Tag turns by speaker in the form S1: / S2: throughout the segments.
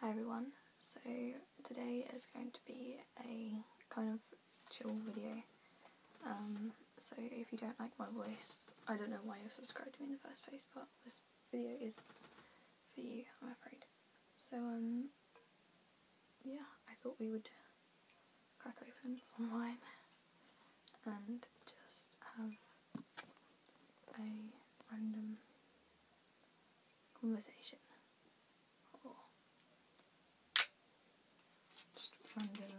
S1: Hi everyone, so today is going to be a kind of chill video. Um, so if you don't like my voice, I don't know why you subscribed to me in the first place, but this video is for you, I'm afraid. So, um, yeah, I thought we would crack open some wine and just have a random conversation oh. just random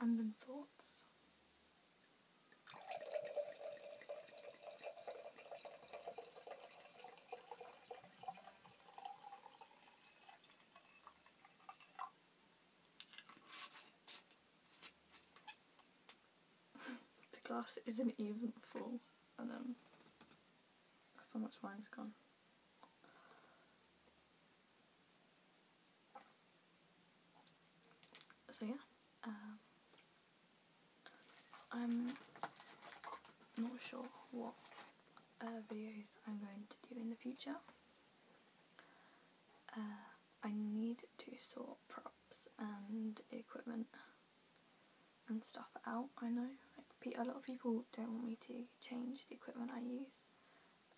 S1: um, random thoughts the glass isn't even full and um, that's how much wine's gone. So yeah, um, I'm not sure what uh, videos I'm going to do in the future. Uh, I need to sort props and equipment and stuff out. I know like a lot of people don't want me to change the equipment I use,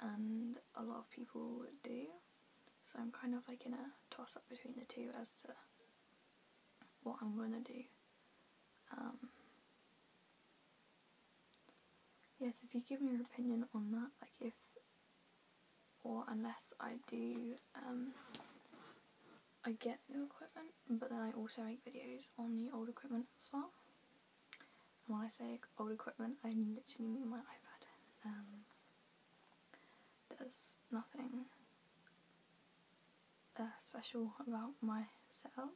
S1: and a lot of people do. So I'm kind of like in a toss up between the two as to what I'm gonna do. Um, yes, if you give me your opinion on that, like if or unless I do, um, I get new equipment, but then I also make videos on the old equipment as well. And when I say old equipment, I literally mean my iPad. Um, there's nothing uh, special about my setup.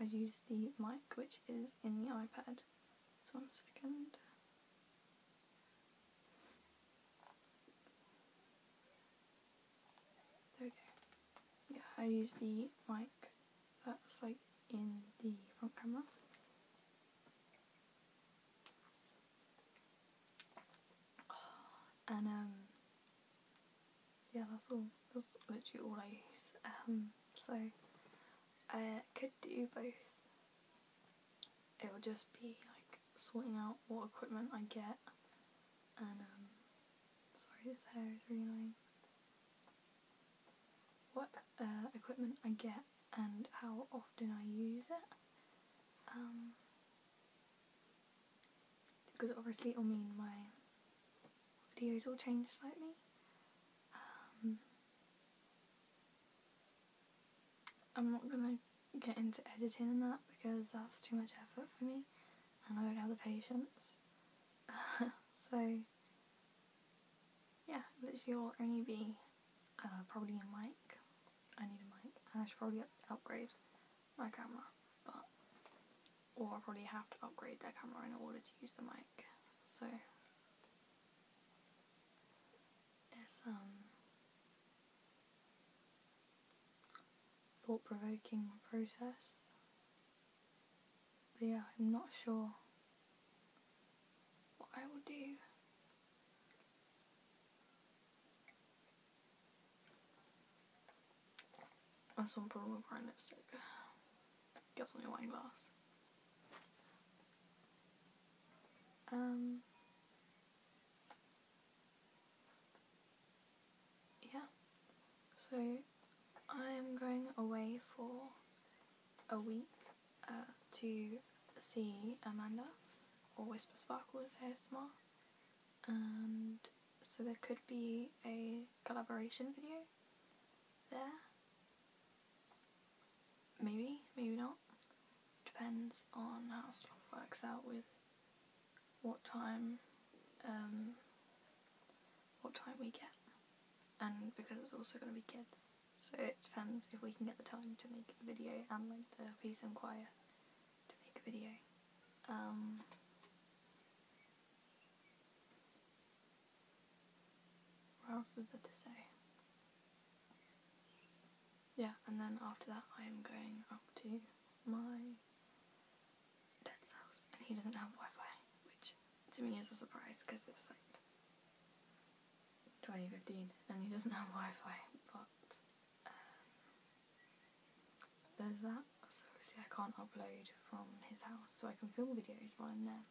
S1: I use the mic which is in the iPad just one second. There we go. Yeah, I use the mic that's like in the front camera. Ah, and um yeah that's all that's literally all I use. Um so I could do both. It will just be like sorting out what equipment I get and um, sorry this hair is really annoying. What uh, equipment I get and how often I use it. Um, because obviously it'll mean my videos will change slightly um, I'm not gonna get into editing and that because that's too much effort for me and I don't have the patience. so, yeah, literally will only be uh, probably a mic. I need a mic and I should probably upgrade my camera, but or I probably have to upgrade that camera in order to use the mic. So it's um thought provoking process. yeah, I'm not sure what I will do. That's one problem with brown lipstick. Guess on your wine glass. Um, yeah, so I am going away for a week uh, to see Amanda or Whisper Sparkles ASMR, and so there could be a collaboration video there. Maybe, maybe not. Depends on how stuff works out with what time, um, what time we get. And because it's also going to be kids, so it depends if we can get the time to make a video and like the peace and quiet to make a video. Um, what else is there to say? Yeah, and then after that, I am going up to my dad's house, and he doesn't have Wi Fi, which to me is a surprise because it's like 2015 and he doesn't have Wi Fi, but um, there's that. So, obviously, I can't upload from his house, so I can film videos while I'm there.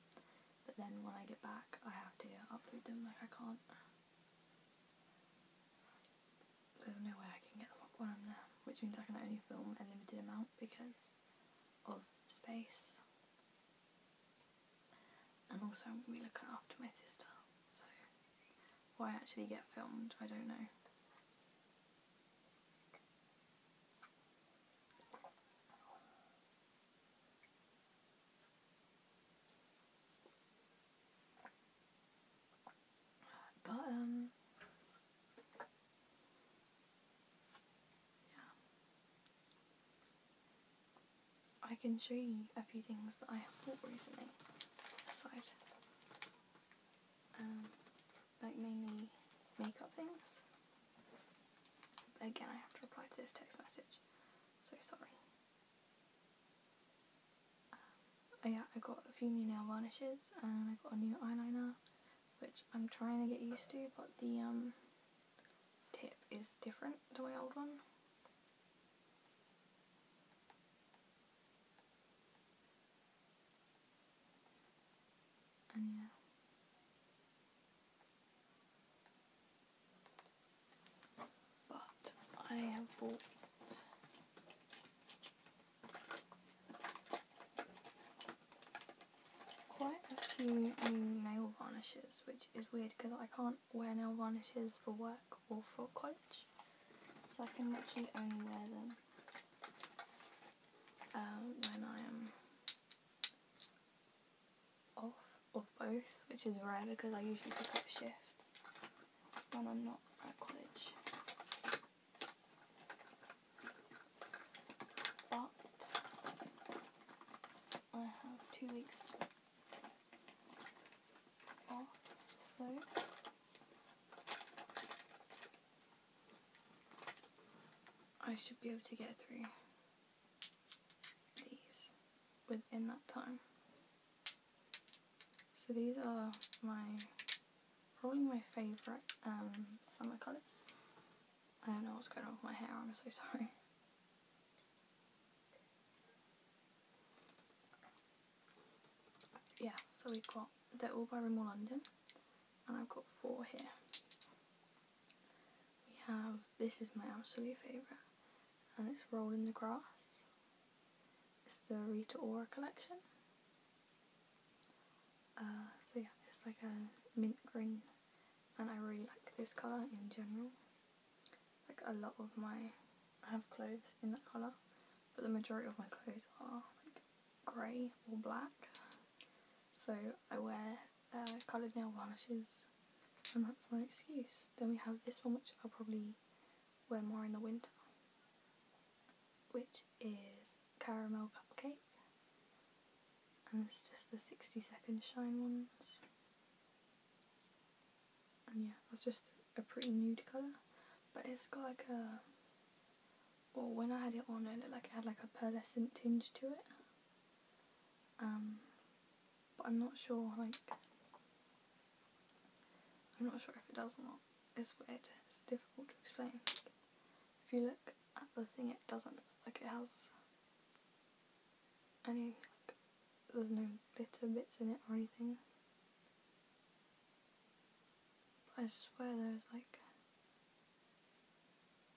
S1: But then when I get back, I have to upload them, like I can't. There's no way I can get them up when I'm there, which means I can only film a limited amount because of space. And also, I'm looking after my sister, so why I actually get filmed, I don't know. But, um, yeah. I can show you a few things that I have bought recently aside. Um, like mainly makeup things. again, I have to reply to this text message, so sorry. Um, oh yeah, I got a few new nail varnishes and I got a new eyeliner, which I'm trying to get used to, but the um, tip is different to my old one. And yeah. But I have bought quite a few nail varnishes, which is weird because I can't wear nail varnishes for work or for college. So I can literally only wear them um, when I am off of both, which is rare because I usually pick up shifts when I'm not at college. But I have two weeks off, so I should be able to get through these within that time. So these are my, probably my favourite um, summer colours. I don't know what's going on with my hair, I'm so sorry. Yeah, so we've got, they're all by Remo London and I've got four here. We have, this is my absolute favourite, and it's Roll in the Grass. It's the Rita Ora collection. Uh, so yeah, it's like a mint green, and I really like this colour in general. Like a lot of my, I have clothes in that colour, but the majority of my clothes are like grey or black. So I wear uh, coloured nail varnishes and that's my excuse. Then we have this one which I'll probably wear more in the winter which is Caramel Cupcake and it's just the 60 second shine ones and yeah that's just a pretty nude colour but it's got like a or when I had it on, it looked like it had like a pearlescent tinge to it. Um, but I'm not sure, like, I'm not sure if it does or not. It's weird. It's difficult to explain. If you look at the thing, it doesn't like it has any, like, there's no glitter bits in it or anything. I swear there's, like,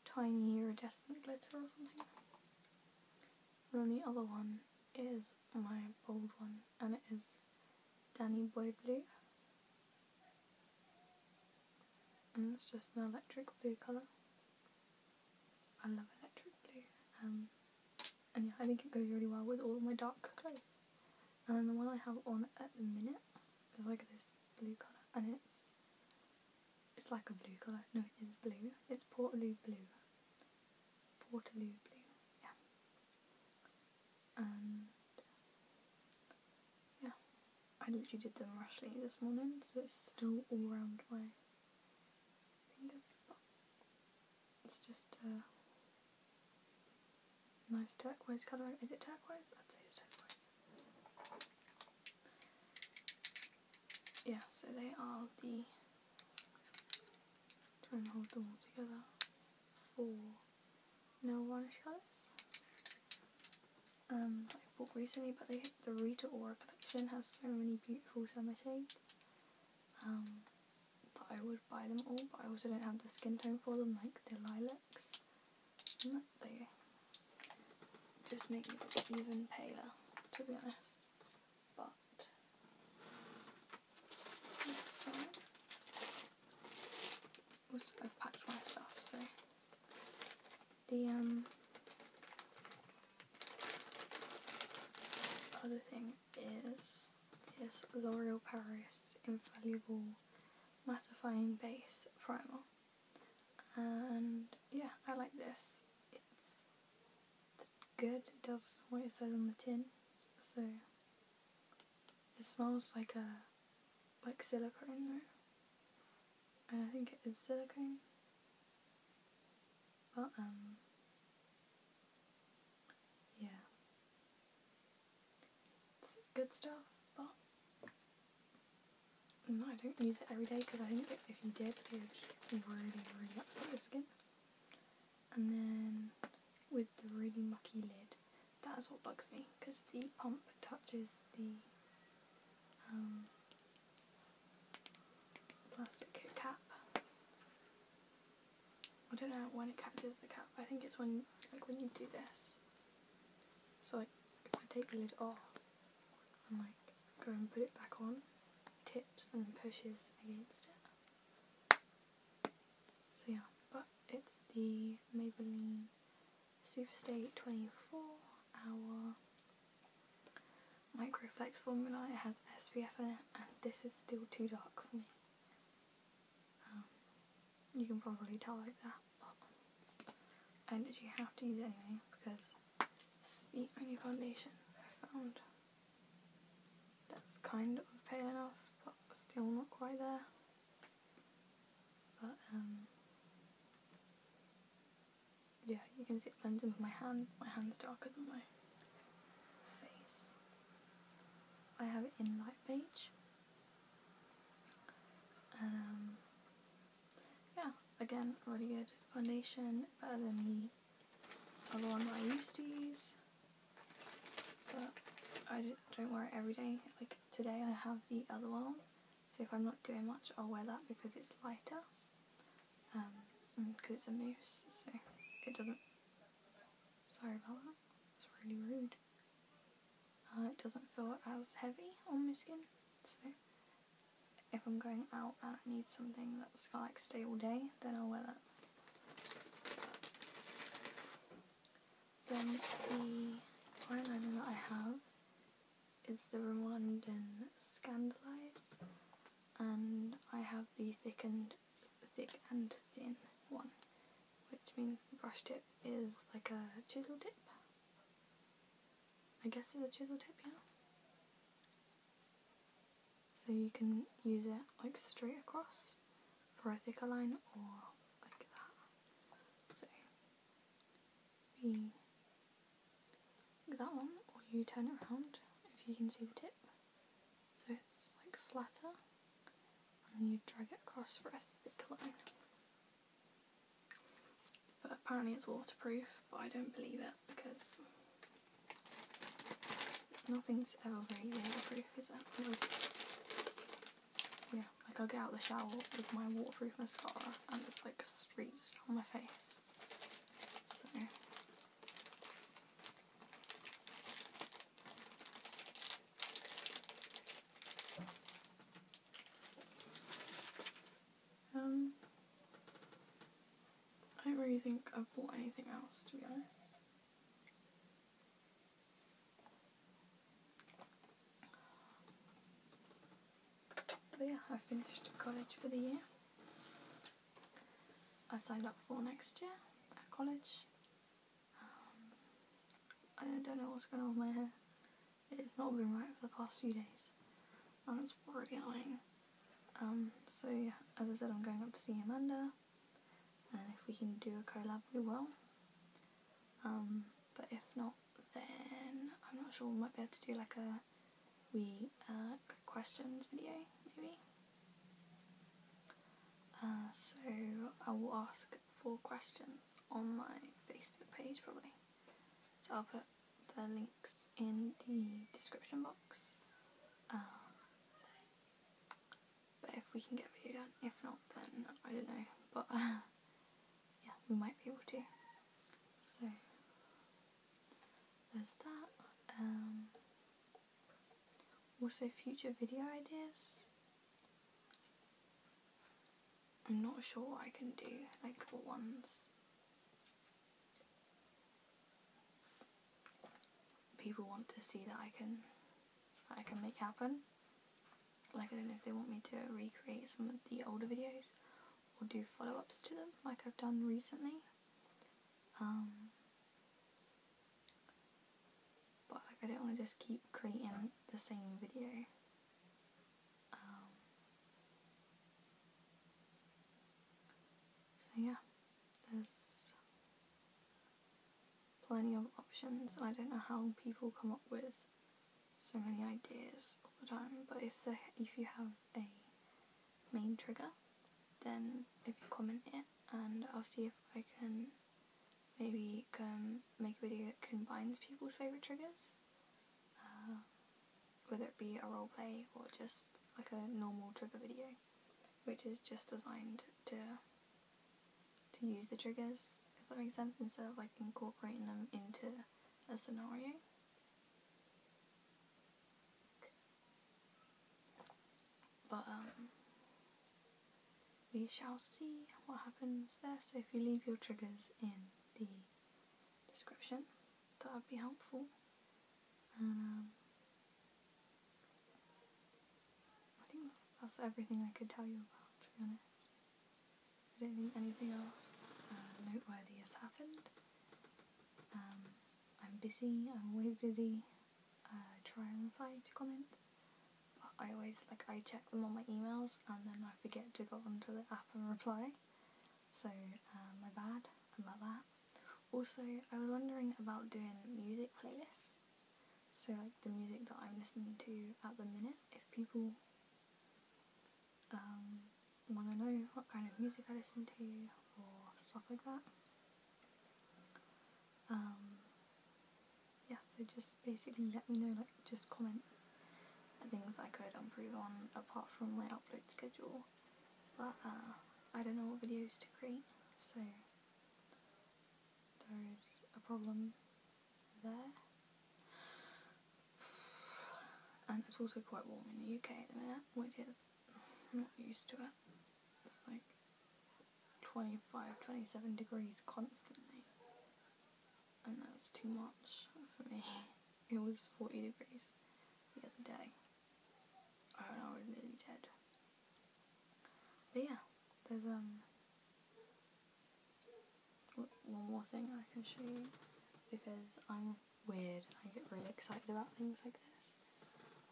S1: tiny iridescent glitter or something. And then the other one is my bold one, and it is Danny Boy Blue. And it's just an electric blue colour. I love electric blue. Um, and yeah, I think it goes really well with all my dark clothes. And then the one I have on at the minute is like this blue colour and it's it's like a blue colour. No, it is blue. It's Portaloo blue. Portaloo blue, yeah. And yeah. I literally did them rashly this morning, so it's still all around my it's just uh, Nice turquoise colouring. Is it turquoise? I'd say it's turquoise. Yeah, so they are the. Try and hold them all together. Four No, varnish colours. Um, I bought recently, but they the Rita Ora collection has so many beautiful summer shades. Um, that I would buy them all, but I also don't have the skin tone for them, like the lilac next. And that they just make it even paler, to be honest. But I've packed my stuff, so the um, other thing is this L'Oreal Paris invaluable mattifying base primer and yeah I like this it's, it's good it does what it says on the tin so it smells like a like silicone I think it is silicone but um yeah it's good stuff, but no, I don't use it every day because I think if you did, it would really, really upset the skin. And then with the really mucky lid, that is what bugs me because the pump touches the um, plastic cap. I don't know when it catches the cap. I think it's when, like, when you do this. So if I take the lid off and like go and put it back on, tips and pushes against it. So yeah, but it's the Maybelline Superstay 24 Hour Microflex formula. It has SPF in it, and this is still too dark for me. Um, you can probably tell like that, but I literally have to use it anyway because it's the only foundation I found that's kind of pale enough, but still not quite there. But um, yeah, you can see it blends into my hand. My hand's darker than my face. I have it in light beige. Um, yeah, again, really good foundation, better than the other one that I used to use. But I don't wear it every day. Like today, I have the other one so if I'm not doing much, I'll wear that because it's lighter. Um, and because it's a mousse, so it doesn't. Sorry about that. It's really rude. Uh, it doesn't feel as heavy on my skin, so if I'm going out and I need something that's gonna stay all day, then I'll wear that. Then the eyeliner that I have is the Rwandan Scandalize, and I have the thick and thick and thin one which means the brush tip is like a chisel tip. I guess it's a chisel tip, yeah. So you can use it like straight across for a thicker line or like that. So be that one or you turn it around if you can see the tip. So it's like flatter and you drag it across for a thick line. But apparently it's waterproof, but I don't believe it because nothing's ever really waterproof, is it? it yeah, like I get out the shower with my waterproof mascara and it's like streaked on my face. Um, I don't really think I've bought anything else, to be honest. But yeah, I finished college for the year. I signed up for next year at college. Um, I don't know what's going on with my hair. It's not been right for the past few days. And it's really annoying. Um, so yeah, as I said, I'm going up to see Amanda. And if we can do a collab, we will. Um, but if not, then I'm not sure. We might be able to do like a we uh, questions video, maybe. Uh, so I will ask Four questions on my Facebook page, probably. So I'll put the links in the description box. Um, but if we can get a video done, if not, then I don't know. But yeah, we might be able to. So there's that. Um, also, future video ideas I'm not sure what I can do, like what ones people want to see that I can I can make happen. Like I don't know if they want me to recreate some of the older videos or do follow-ups to them like I've done recently. Um, but like, I do not want to just keep creating the same video. Um, so yeah, there's plenty of options. I don't know how people come up with so many ideas all the time, but if the if you have a main trigger, then if you comment it, and I'll see if I can Maybe um, make a video that combines people's favourite triggers, uh, whether it be a role play or just like a normal trigger video, which is just designed to to use the triggers, if that makes sense, instead of like incorporating them into a scenario. But um, we shall see what happens there. So if you leave your triggers in the description, that would be helpful. Um, I think that's everything I could tell you about, to be honest. I don't think anything else uh, noteworthy has happened. Um, I'm busy, I'm always busy. Uh, try and reply to comments, but I always like I check them on my emails and then I forget to go onto the app and reply. So uh, my bad about that. Also, I was wondering about doing music playlists. So like the music that I'm listening to at the minute, if people um, want to know what kind of music I listen to or stuff like that. Um, yeah, so just basically let me know, like, just comments and things I could improve on apart from my upload schedule. But uh, I don't know what videos to create, so there is a problem there. And it's also quite warm in the UK at the minute, which is not used to it. It's like 25, 27 degrees constantly. And that was too much for me. It was 40 degrees the other day. I was nearly dead. But yeah, there's um one more thing I can show you because I'm weird. I get really excited about things like this.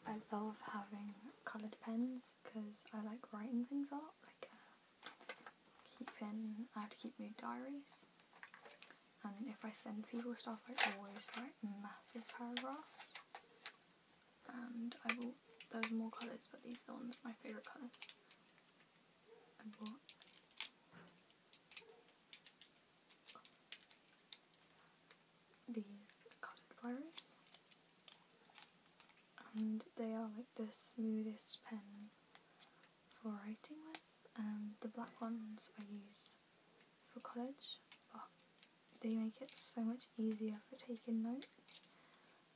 S1: I love having coloured pens because I like writing things up, like uh, keeping, I have to keep mood diaries and if I send people stuff I always write massive paragraphs and I bought those more colours but these are the ones my favourite colours I bought these cotton pliers and they are like the smoothest pen for writing with. And um, the black ones I use for college but they make it so much easier for taking notes.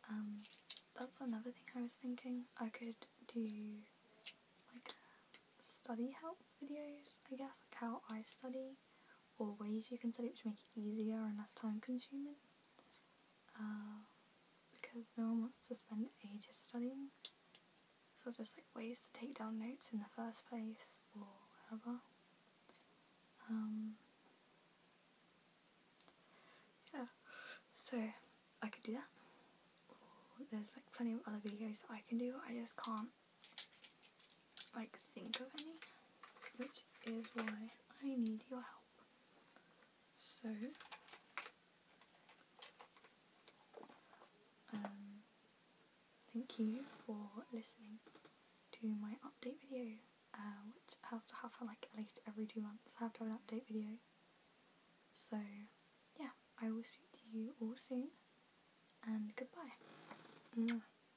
S1: Um, that's another thing I was thinking. I could do like study help videos, I guess, like how I study or ways you can set it to make it easier and less time consuming. Uh, because no one wants to spend ages studying. So just like ways to take down notes in the first place or whatever. Um, yeah, so I could do that. there's like plenty of other videos I can do. I just can't like think of any, which is why I need your help. So, um, thank you for listening to my update video, uh, which has to happen like at least every two months. I have to have an update video. So, yeah, I will speak to you all soon, and goodbye. Mwah.